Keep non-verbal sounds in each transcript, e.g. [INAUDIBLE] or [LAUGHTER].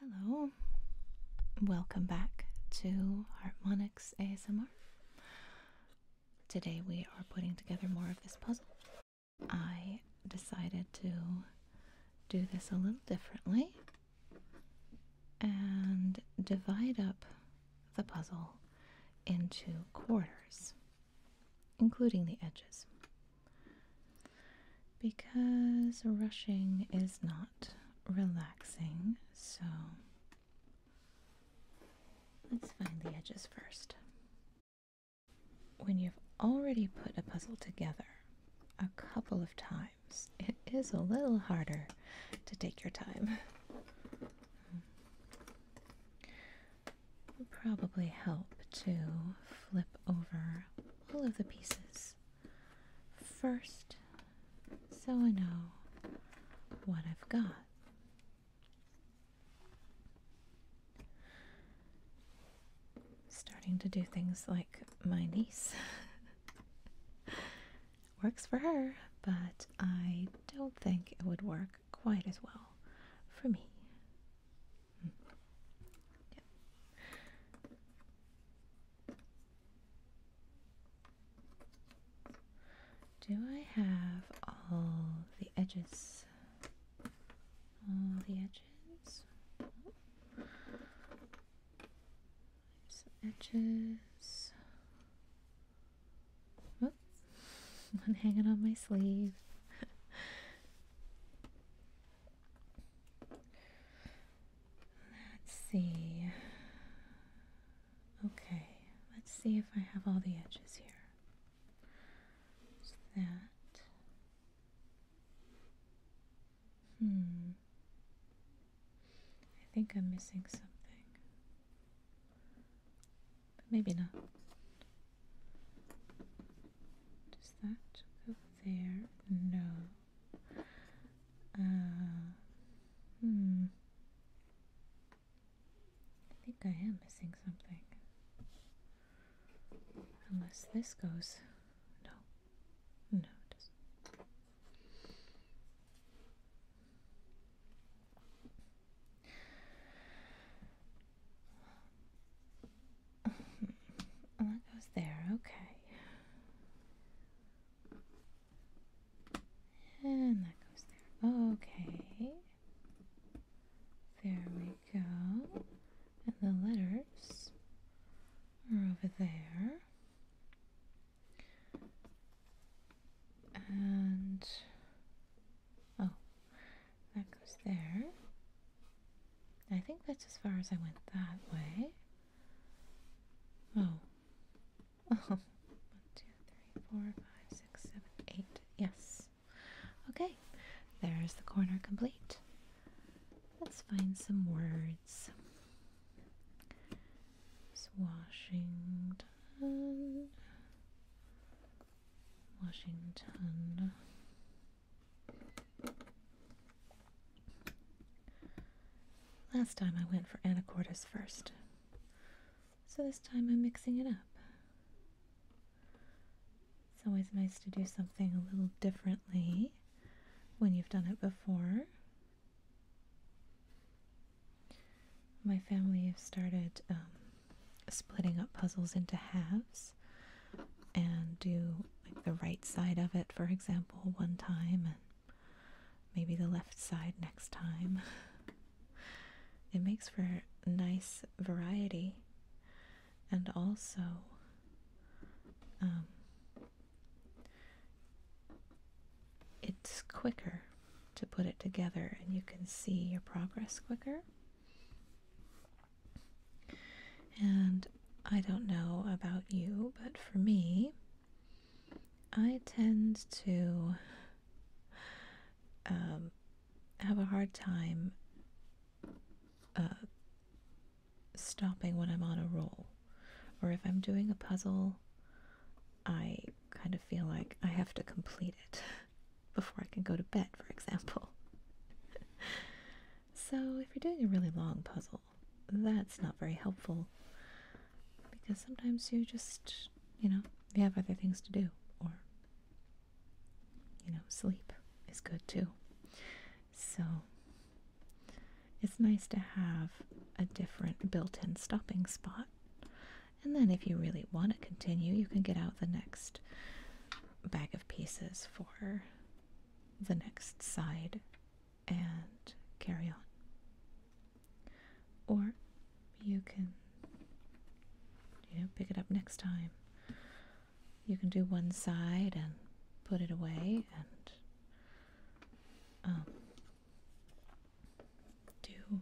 Hello, welcome back to Harmonics ASMR. Today we are putting together more of this puzzle. I decided to do this a little differently and divide up the puzzle into quarters, including the edges because rushing is not relaxing, so let's find the edges first. When you've already put a puzzle together a couple of times, it is a little harder to take your time. probably help to flip over all of the pieces first so I know what I've got. Starting to do things like my niece. [LAUGHS] Works for her, but I don't think it would work quite as well for me. Do I have all the edges? All the edges? Oh. Some edges. Oh, [LAUGHS] one hanging on my sleeve. [LAUGHS] Let's see. Okay, let's see if I have all the edges here. that. Hmm. I think I'm missing something. But maybe not. Does that go there? No. Uh, hmm. I think I am missing something. Unless this goes. No. No, it doesn't. Well, oh, goes there, okay. And that goes there, okay. There we go. And the letters are over there. And Oh, that goes there. I think that's as far as I went that way. Oh. [LAUGHS] One, two, three, four, five, six, seven, eight. Yes. Okay. There's the corner complete. Let's find some words. Washington. Washington. Last time I went for anacortes first, so this time I'm mixing it up. It's always nice to do something a little differently when you've done it before. My family have started um, splitting up puzzles into halves and do the right side of it, for example, one time and maybe the left side next time. [LAUGHS] It makes for nice variety and also um, it's quicker to put it together and you can see your progress quicker and I don't know about you, but for me, I tend to um, have a hard time uh, stopping when I'm on a roll. Or if I'm doing a puzzle, I kind of feel like I have to complete it. [LAUGHS] before I can go to bed, for example. [LAUGHS] so, if you're doing a really long puzzle, that's not very helpful because sometimes you just, you know, you have other things to do, or, you know, sleep is good too. So, it's nice to have a different built in stopping spot and then, if you really want to continue, you can get out the next bag of pieces for the next side and carry on. Or you can, you know, pick it up next time. You can do one side and put it away and um, do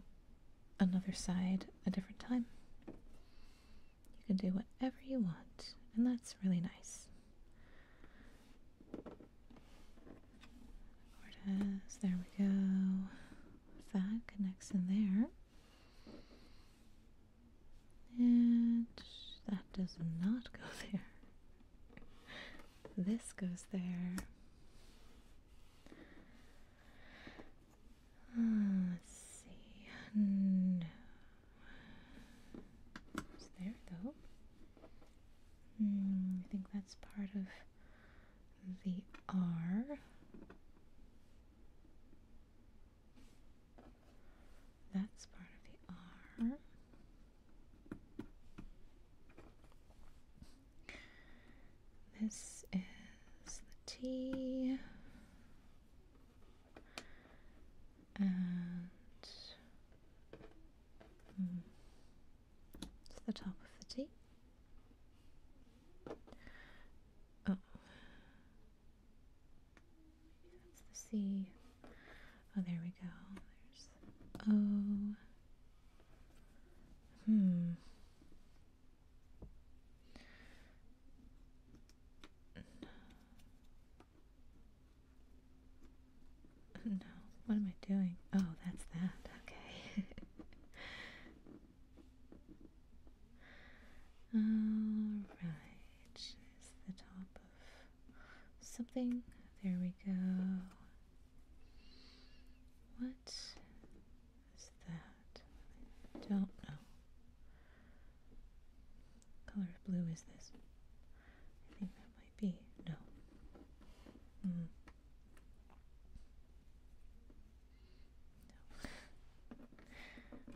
another side a different time. You can do whatever you want, and that's really nice. Cortez, there we go. That connects in there. And that does not go [LAUGHS] there. This goes there. Ah, let's see. No. there though. Hmm, I think that's part of the R. That's part of the R. This is the T, And hmm, it's the top of the T. Oh, that's the C. Oh, there we go. There's O. Hmm. No, what am I doing? Oh, that's that. Okay. [LAUGHS] Alright, it's the top of something. There we go. What is that? I don't know. What color of blue is this? I think that might be. No. Mm. No.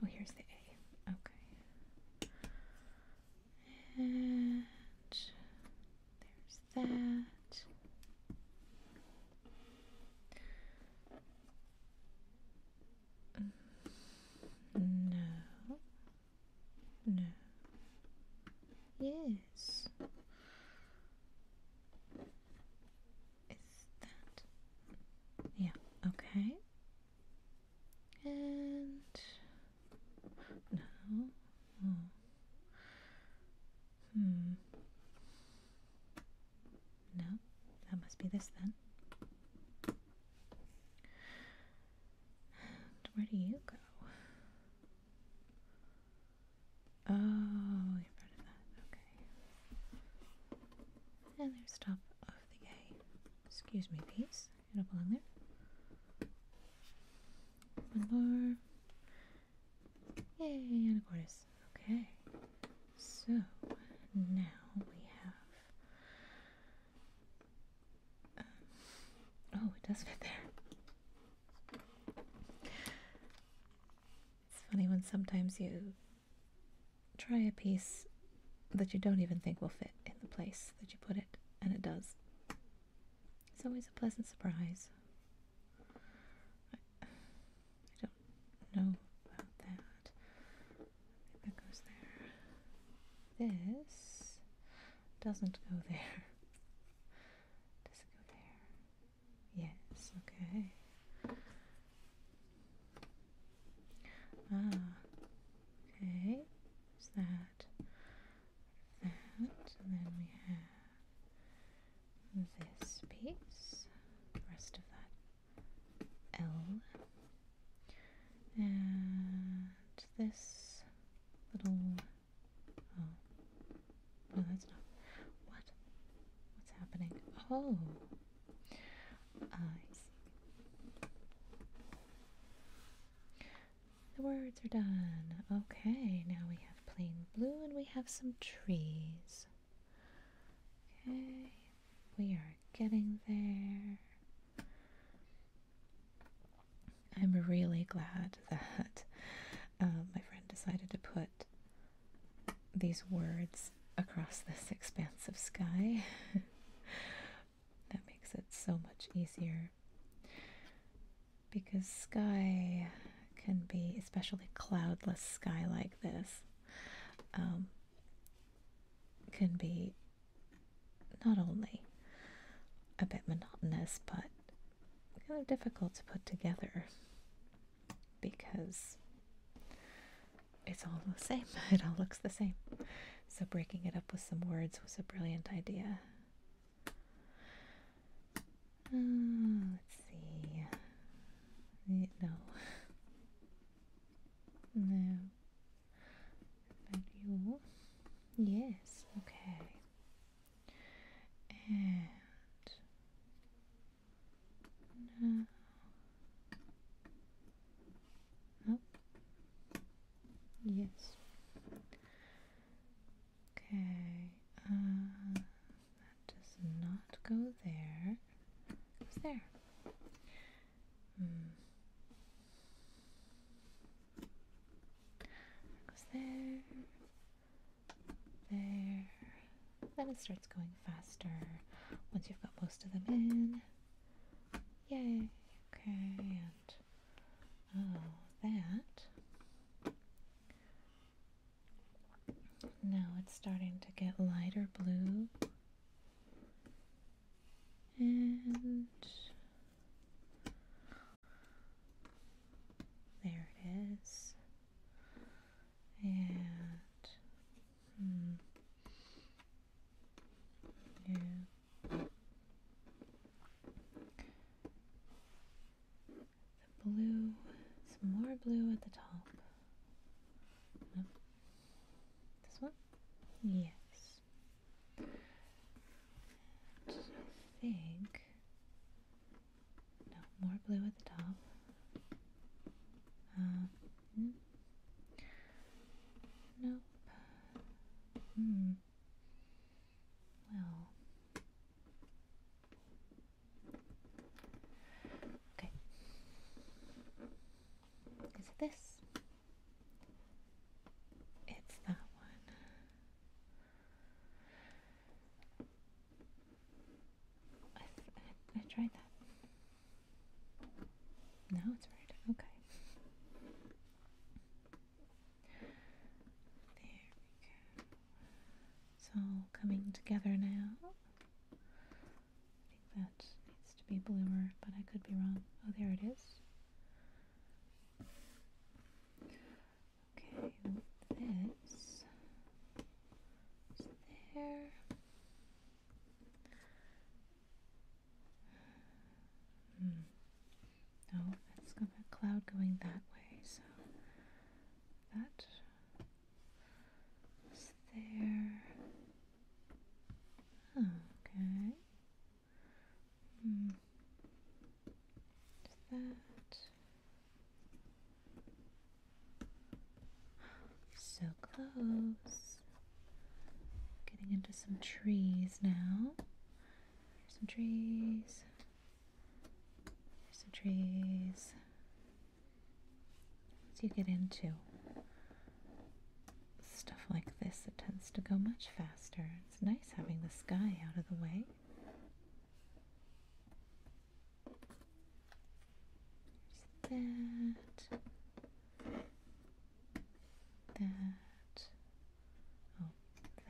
Oh, here's the A. Okay. And there's that. Mm, no. No. Yes. Is that? Yeah, okay. And now, oh. Hmm. Hmm. No, that must be this then. where do you go? Oh, you're part of that. Okay. And there's top of the A. Excuse me, please. You do belong there. One more. Yay, and a Okay. So now we have. Um, oh, it does fit there. It's funny when sometimes you try a piece that you don't even think will fit in the place that you put it, and it does. It's always a pleasant surprise. I, don't know about that. that goes there. This doesn't go there. Does it go there? Yes, okay. Ah, okay. There's that. That. And then we have this piece, the rest of that L, and this little. Oh, no, that's not. What? What's happening? Oh, I see. The words are done. Okay, now we have plain blue and we have some trees. Okay, we are getting there. I'm really glad that um, my friend decided to put these words across this expanse of sky. [LAUGHS] that makes it so much easier because sky can be, especially cloudless sky like this, um, can be not only a bit monotonous but kind of difficult to put together because it's all the same. [LAUGHS] It all looks the same. So breaking it up with some words was a brilliant idea. Mm, let's see. No. No. Value. Yes, okay. And no. Nope. Yes. Okay, uh, that does not go there. Hmm. It goes there. goes there. There. Then it starts going faster once you've got most of them in. Yay. Okay, Oh, that. Now it's starting to get lighter blue. And there it is. And hmm. yeah. The blue, some more blue at the top. No. This one? Yes. think. No, more blue at the top. Uh, hmm. Nope. Hmm. Well. Okay. Is it this? It's that one. I, I tried that. No, it's right. Okay. There we go. It's all coming together now. I think that needs to be bluer, but I could be wrong. Oh, there it is. Okay, this is there. Hmm. No, oh, that's got that cloud going that way, so that is there. Okay. Hmm. That. [GASPS] So close. Getting into some trees now. There's some trees. There's some trees. Once you get into stuff like this, it tends to go much faster. It's nice having the sky out of the way. that. That of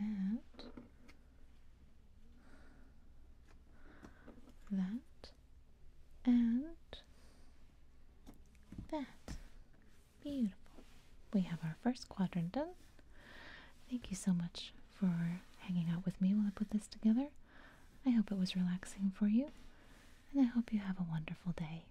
that, that, and that. Beautiful. We have our first quadrant done. Thank you so much for hanging out with me while I put this together. I hope it was relaxing for you, and I hope you have a wonderful day.